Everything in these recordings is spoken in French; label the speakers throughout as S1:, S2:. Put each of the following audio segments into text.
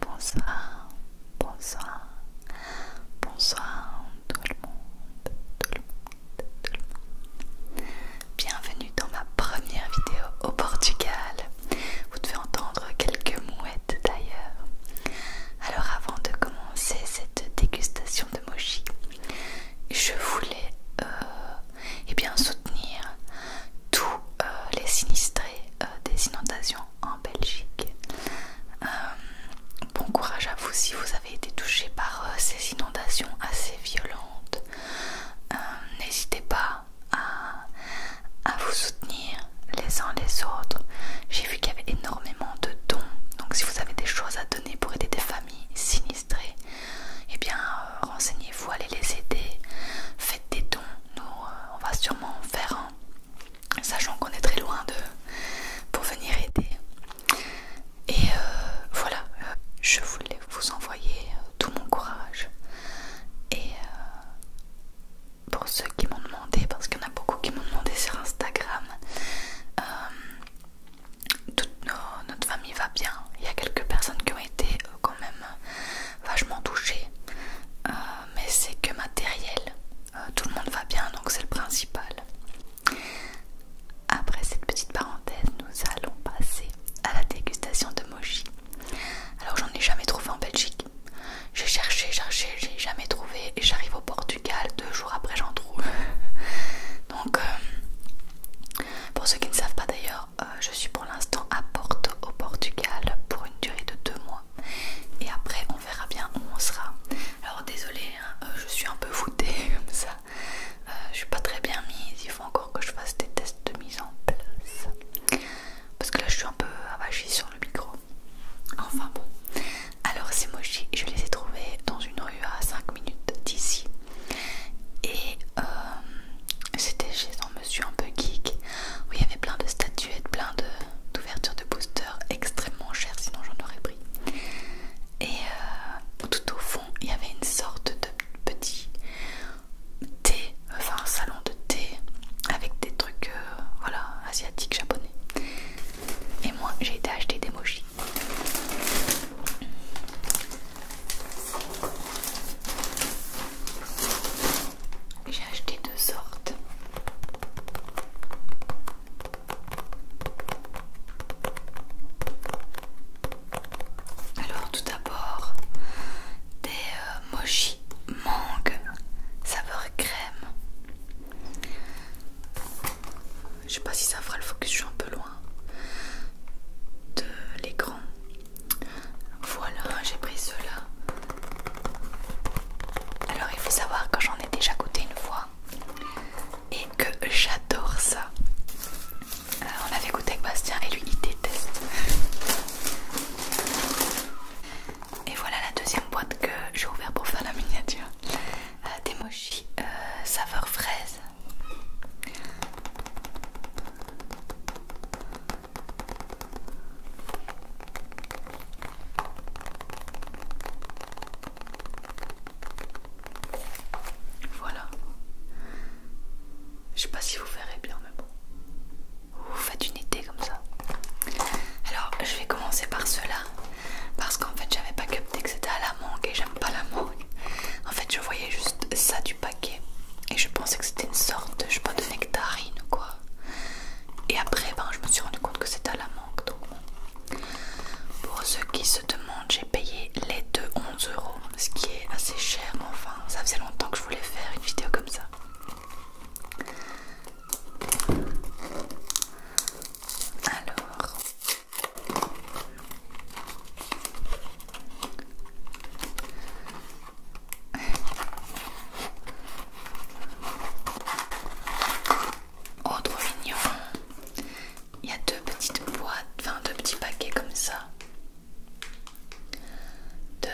S1: Bonsoir, bonsoir, bonsoir tout le monde, tout le monde, tout le monde. Bienvenue dans ma première vidéo au Portugal. Vous devez entendre quelques mouettes d'ailleurs. Alors avant de commencer cette dégustation de mochi, je voulais euh, eh bien soutenir tous euh, les sinistrés euh, des inondations en Belgique. Euh, bon courage à vous si vous avez été touché par euh, ces inondations assez violentes. N'hésitez pas à, vous soutenir les uns les autres. J'ai vu qu'il y avait énormément de dons. Donc si vous avez des choses à donner pour aider des familles sinistrées, et eh bien renseignez-vous, allez les aider, faites des dons, nous, euh, on va sûrement en faire un, sachant qu'on est très loin de pour venir aider. Et euh, voilà, je voulais vous envoyer euh, tout mon courage. Et pour ceux qui m'ont demandé, parce qu'il y en a beaucoup qui m'ont demandé sur Instagram, toute notre famille va bien. Il y a quelques personnes qui ont été quand même euh, vachement touché, euh, mais c'est que matériel. Euh, tout le monde va bien, donc c'est le principal. Après cette petite parenthèse, nous allons passer à la dégustation de mochi. Alors j'en ai jamais trouvé en Belgique. J'ai cherché, cherché, j'ai jamais trouvé et j'arrive au Portugal, deux jours après j'en trouve. donc pour ceux qui ne savent pas d'ailleurs, euh, je suis pour l'instant à Porto, au Portugal, pour une durée de deux mois. Et après, on verra bien où on sera. Alors, désolée, hein, euh, je suis un peu foutée comme ça. Euh, je suis pas très bien mise. Il faut encore que je fasse des tests de mise en place. Parce que là, je suis un peu avachie sur le micro. Enfin bon. Alors, ces mochis, je les ai trouvés dans une rue à 5 minutes d'ici. Et c'était chez je suis un peu geek où il y avait plein de statuettes, plein d'ouvertures de, boosters extrêmement chères, sinon j'en aurais pris. Et euh, tout au fond, il y avait une sorte de petit thé, enfin un salon de thé avec des trucs euh, voilà, asiatiques, japonais. Et moi j'ai été acheter des mochis. J'ai acheté deux sortes. Alors tout d'abord des euh, mochi mangue saveur crème. Je sais pas si ça fera le focus, je suis un peu loin de l'écran. Voilà, j'ai pris cela. Alors il faut savoir que j'en ai déjà goûté une fois et que j'adore ça. Euh, on l'avait goûté avec Bastien et lui il déteste. Et voilà la deuxième boîte que j'ai ouverte pour faire la miniature. Euh, des mochis euh, saveur fraise. Voilà. Je sais pas si vous verrez bien, mais bon. Vous faites une idée comme ça. Alors, je vais commencer par cela. Parce qu'en fait, j'avais pas capté que c'était à la mangue et j'aime pas la mangue. En fait, je voyais juste ça du et je pensais que c'était une sorte, je sais pas, de nectarine quoi. Et après, ben, je me suis rendu compte que c'était à la manque. Donc Pour ceux qui se demandent, j'ai payé les deux 11 euros, ce qui est assez cher, mais enfin, ça faisait longtemps que je voulais faire une vidéo comme ça. Alors, Oh trop mignon Il y a deux petites boîtes, enfin deux petits paquets comme ça de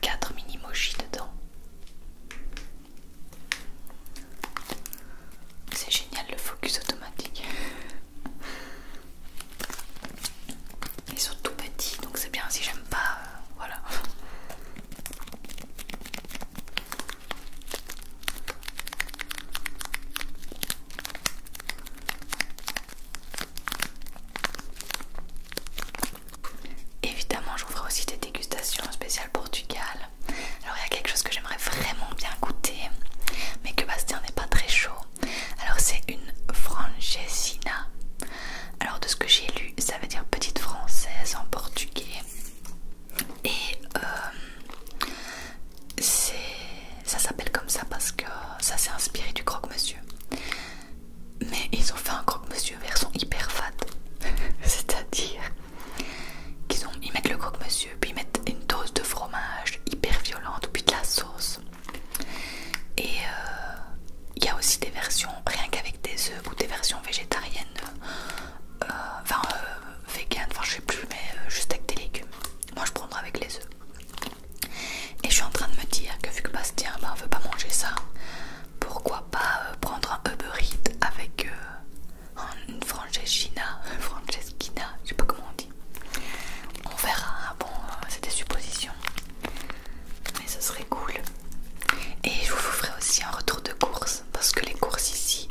S1: 4 mini mochi dedans. C'est génial le focus automatique. Ils sont tout petits, donc c'est bien si j'aime pas. Euh, voilà. Évidemment, j'ouvrais aussi des dégustations spéciales Portugal. Alors, il y a quelque chose que j'aimerais vraiment bien goûter, mais que Bastien n'est pas très chaud. Alors c'est une francesina. Alors de ce que j'ai lu, ça veut dire petite française en portugais. Et euh, ça s'appelle comme ça parce que ça s'est inspiré du croque-monsieur. Mais ils ont fait un croque-monsieur version hyper fat. C'est-à-dire qu'ils ils mettent le croque-monsieur, puis ils mettent une dose de fromage hyper violente, puis de la sauce et il euh, y a aussi des versions rien qu'avec des œufs ou des versions végétariennes, euh, enfin euh, vegan, enfin je sais plus, mais juste avec des légumes. Moi je prendrai avec les œufs. Et je suis en train de me dire que vu que Bastien ben, veut pas manger ça, pourquoi pas prendre un Uber Eats avec une Franceschina, Franceschina, je sais pas comment on dit. On verra, ah bon, c'est des suppositions, mais ce serait cool. Et je vous ferai aussi un retour de course parce que les courses ici,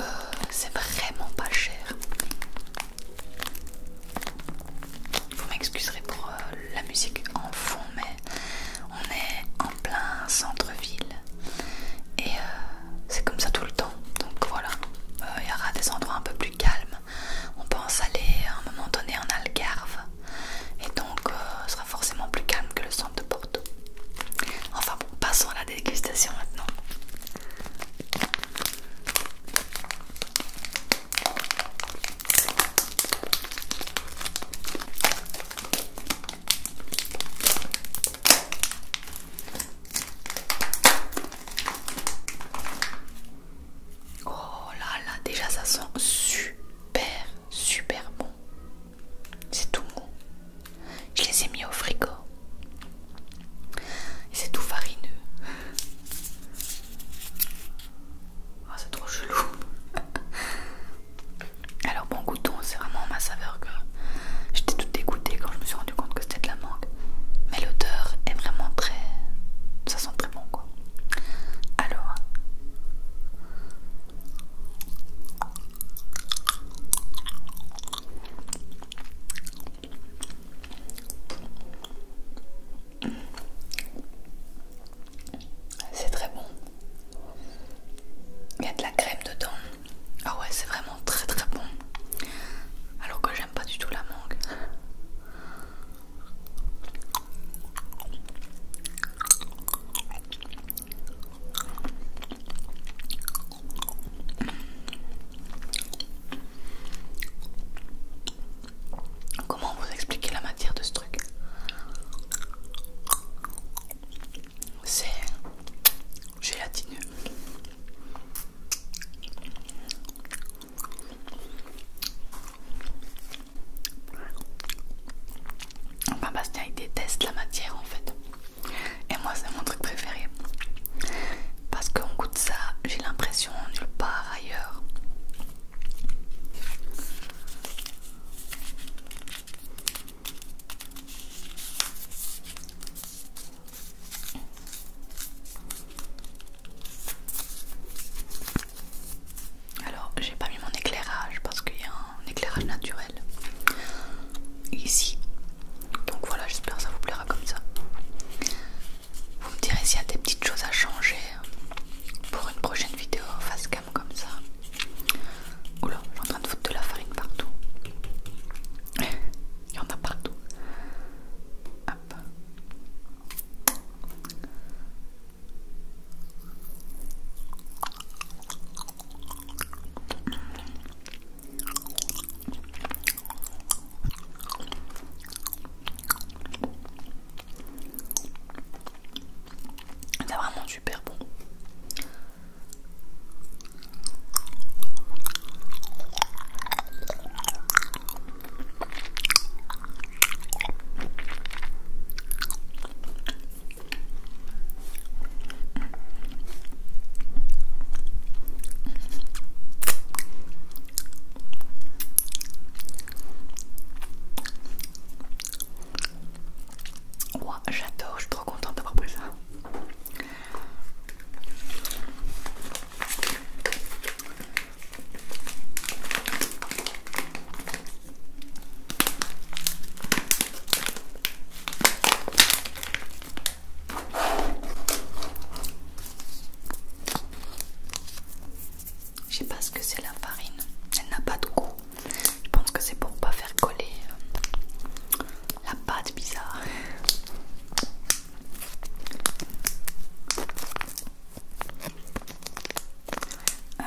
S1: euh, c'est vraiment pas cher. Vous m'excuserez pour euh, la musique en fond, mais on est en plein centre-ville et euh, c'est comme ça tout le temps. Donc voilà, il y aura des endroits un peu plus calmes on pense aller à un moment donné en Algarve et donc euh, ce sera forcément plus calme que le centre de Porto. Enfin bon, passons à la dégustation maintenant. Oh là là, déjà ça sent super, super bon. C'est tout bon. Je les ai mis au frigo. Et c'est tout farineux. Oh, c'est trop chelou. Alors bon goûton, c'est vraiment ma saveur que j'étais toute dégoûtée quand je me suis rendu compte que c'était de la mangue mais l'odeur est vraiment très. ça sent très bon quoi. Alors. C'est très bon. Il y a de la crème dedans. Ah ouais, c'est vraiment très très bon. Alors que pas du tout la mangue. Comment vous expliquer la matière de ce truc C'est gélatineux. Enfin Bastien déteste la matière en fait. Et moi c'est mon truc préféré. Parce qu'on goûte ça, j'ai l'impression nulle part ailleurs. Alors j'ai pas mis mon éclairage parce qu'il y a un éclairage naturel ici. Donc voilà, j'espère que ça vous plaira comme ça. Vous me direz s'il y a des petites choses à changer pour une prochaine vidéo face cam comme ça. Oula, j'ai en train de foutre de la farine partout. Il y en a partout. C'est vraiment super bon. Wow, J'adore, je suis trop contente d'avoir pris ça. Je sais pas ce que c'est la farine, elle n'a pas de goût. Je pense que c'est pour pas faire coller euh, la pâte bizarre. Euh,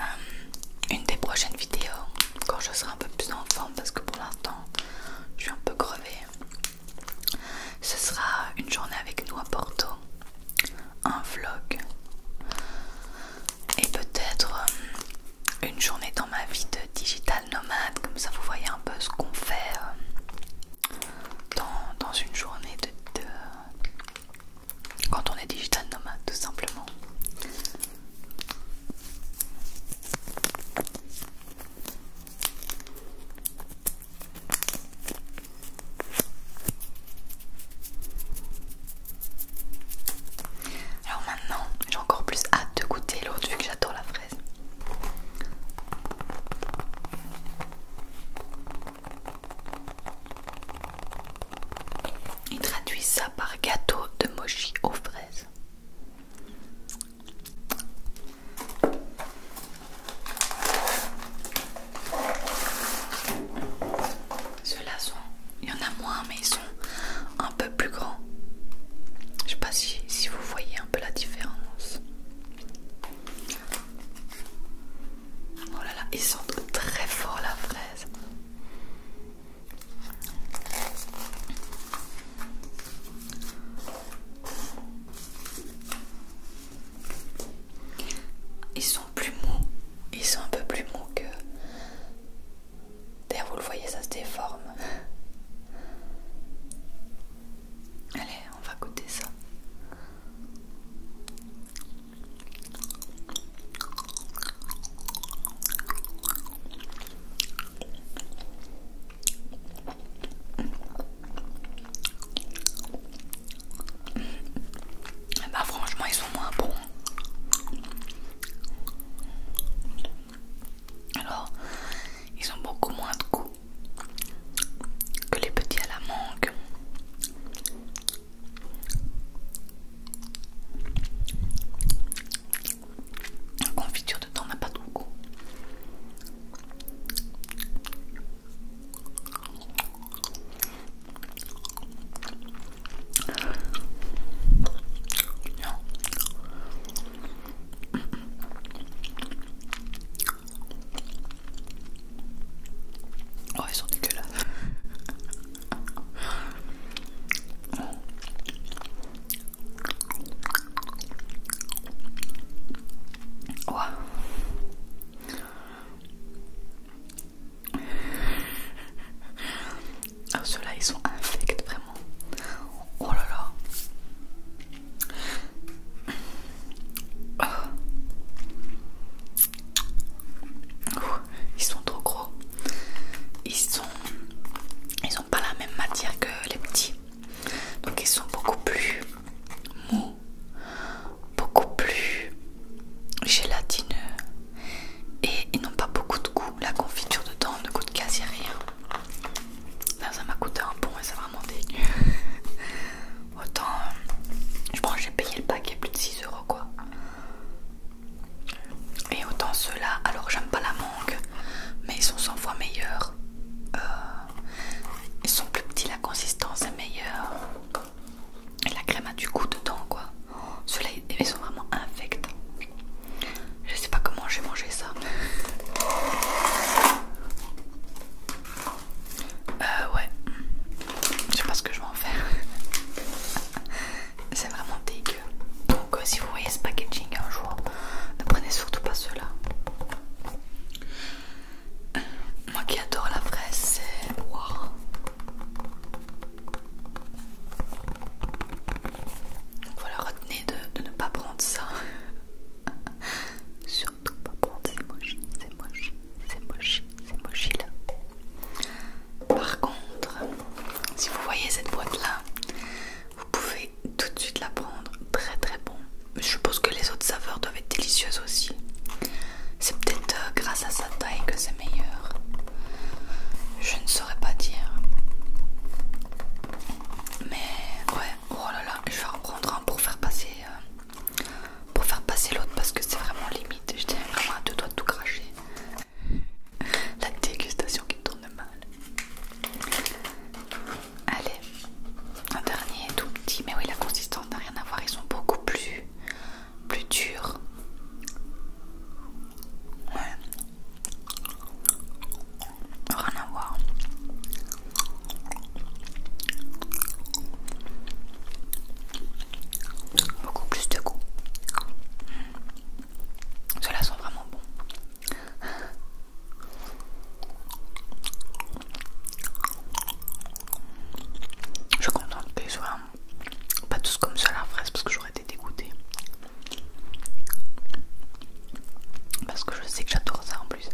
S1: une des prochaines vidéos, quand je serai un peu plus en forme, parce que pour l'instant je suis un peu crevée, ce sera une journée avec nous à Porto, un vlog et peut-être euh, une journée dans ma vie de digital nomade, comme ça vous voyez un peu ce qu'on fait euh, dans, une journée de, quand on est digital nomade tout simplement. Alors maintenant, j'ai encore plus hâte de goûter l'autre vu que j'adore la fraise. Ils traduisent ça par gâteau de mochi aux fraises. Ceux-là sont, il y en a moins, mais ils sont un peu plus grands. Je sais pas si vous voyez un peu la différence. Oh là là, ils sentent très fort la fraise. Ils sont plus mous, ils sont un peu plus mous que. D'ailleurs, vous le voyez, ça se déforme. Allez, on va goûter ça. Eh ben, franchement ils sont moins bons. Alors, ils ont beaucoup moins de goût que les petits à la mangue. La confiture dedans n'a pas de goût. Non. Oh, ils sont dégueulasses. Oh. Oh, ceux-là ils sont infects, Oh là là. Oh. ils sont trop gros. Ils sont, ils ont pas la même matière que les petits. Donc ils sont beaucoup plus mous, beaucoup plus gélatineux et ils n'ont pas beaucoup de goût. La confiture dedans ne goûte quasi rien. Là, ça m'a coûté un bon et ça vraiment monter Autant, euh, je pense que j'ai payé le paquet plus de 6 euros quoi. Et autant ceux-là, alors j'aime pas la mangue, mais ils sont 100 fois meilleurs. Euh, ils sont plus petits, la consistance est meilleure. Et la crème a du goût dedans quoi. Ceux-là, ils sont vraiment infects. Je sais pas comment j'ai mangé ça. Euh, ouais. Je sais pas ce que je vais en faire. C'est vraiment dégueu. Donc, euh, si vous voyez ce packaging un jour, ne prenez surtout pas cela. Moi qui adore la fraise, c'est. Wow. Donc voilà, retenez de, ne pas prendre ça. Surtout pas prendre ces mochis, ces mochis, ces mochis, ces mochis là. Par contre, si vous voyez cette boîte là, vous pouvez tout de suite la prendre. Très très bon. Je suppose que les autres saveurs doivent être délicieuses aussi. C'est peut-être euh, grâce à sa taille que c'est meilleur. Je ne saurais pas dire. Mais ouais, oh là là, je vais en prendre un pour faire passer euh, pour faire passer l'autre parce que c'est vraiment limite. tiens vraiment à deux doigts de tout cracher. La dégustation qui me tourne mal. Allez, un dernier tout petit, mais oui la consistance n'a rien à voir, ils sont beaucoup plus plus durs. Ouais. Rien à voir. Beaucoup plus de goût. Cela mmh. Ceux-là sont vraiment bons. Je suis contente qu'ils soit pas tous comme ça la fraise parce que j'aurais été dégoûtée. Parce que je sais que j'adore ça en plus.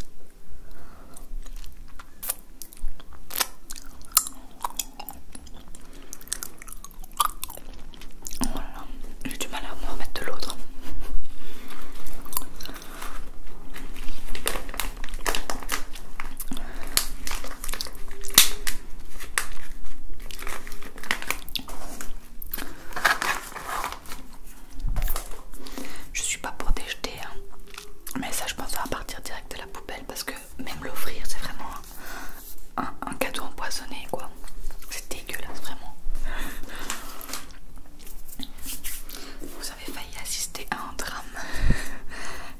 S1: Voilà, j'ai du mal à me remettre de l'autre. Je suis pas pour déjeter, hein. mais ça je pense à partir direct de la poubelle parce que même l'offrir c'est vraiment un, cadeau empoisonné quoi. C'est dégueulasse vraiment. Vous avez failli assister à un drame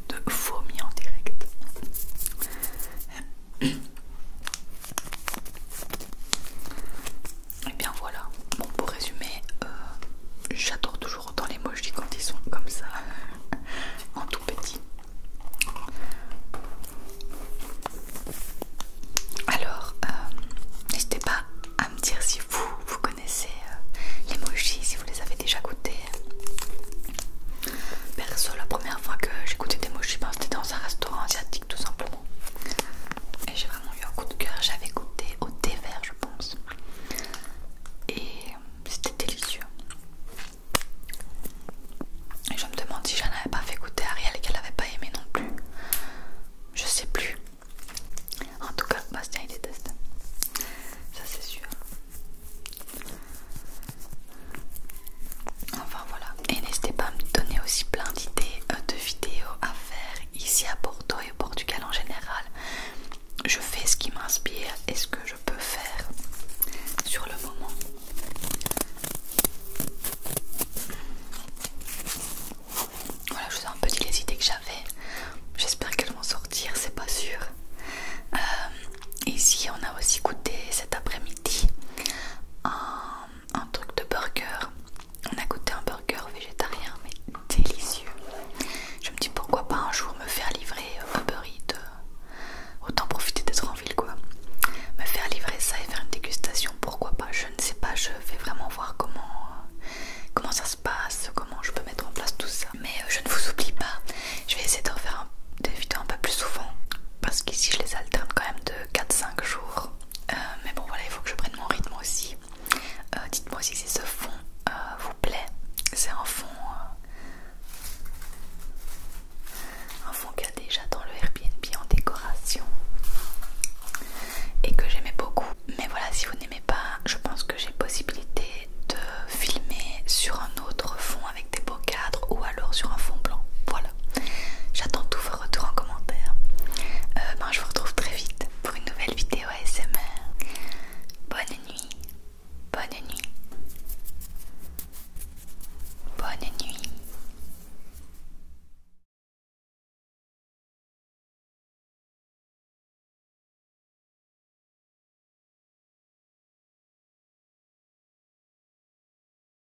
S1: de fourmis en direct. Et bien voilà, bon pour résumer, euh, j'adore toujours autant les mojis quand ils sont comme ça, euh, en tout petit. Alors, euh, n'hésitez pas à me dire si vous, vous connaissez les mojis, si vous les avez déjà goûtés. Perso, la première fois que j'ai goûté des mojis, ben, c'était dans un restaurant asiatique tout simplement. Et j'ai vraiment eu un coup de cœur. J'avais goûté au thé vert, je pense. Et c'était délicieux. Et je me demande si j'en avais pas fait goûter à Ariel et qu'elle n'avait pas aimé non plus. Je sais plus. En tout cas, Bastien il déteste. Ça c'est sûr. Enfin voilà, et n'hésitez pas à me donner aussi plein d'idées euh, de vidéos à faire ici à Bordeaux et au Portugal en général. Je fais ce qui m'inspire et ce que je peux faire sur le moment. Voilà, je vous ai un peu dit les idées que j'avais. J'espère qu'elles vont sortir, c'est pas sûr. Euh, ici, on a aussi goûté cet après-midi un un truc de burger. On a goûté un burger végétarien, mais délicieux. Je me dis pourquoi pas un jour me faire livrer un euh, de euh, Autant profiter d'être en ville quoi. Me faire livrer ça et faire une dégustation, pourquoi pas Je ne sais pas, je vais vraiment voir comment, euh, comment ça se passe, comment je peux mettre en place tout ça. Mais je ne vous oublie pas, je vais essayer de refaire des vidéos un peu plus souvent. Parce qu'ici je les alterne quand même de 4-5 jours euh, mais bon voilà, il faut que je prenne mon rythme aussi. Euh, dites-moi si ce fond euh, vous plaît. C'est un fond... un fond qu'il y a déjà dans le Airbnb en décoration. Et que j'aimais beaucoup. Mais voilà, si vous n'aimez pas, je pense que j'ai possibilité de filmer sur un autre fond avec des beaux cadres ou alors sur un fond blanc. Voilà. J'attends tous vos retours en commentaire. Euh, ben, je vous retrouve très vite pour une nouvelle vidéo ASMR. Bonne nuit. Bonne nuit. Bonne nuit.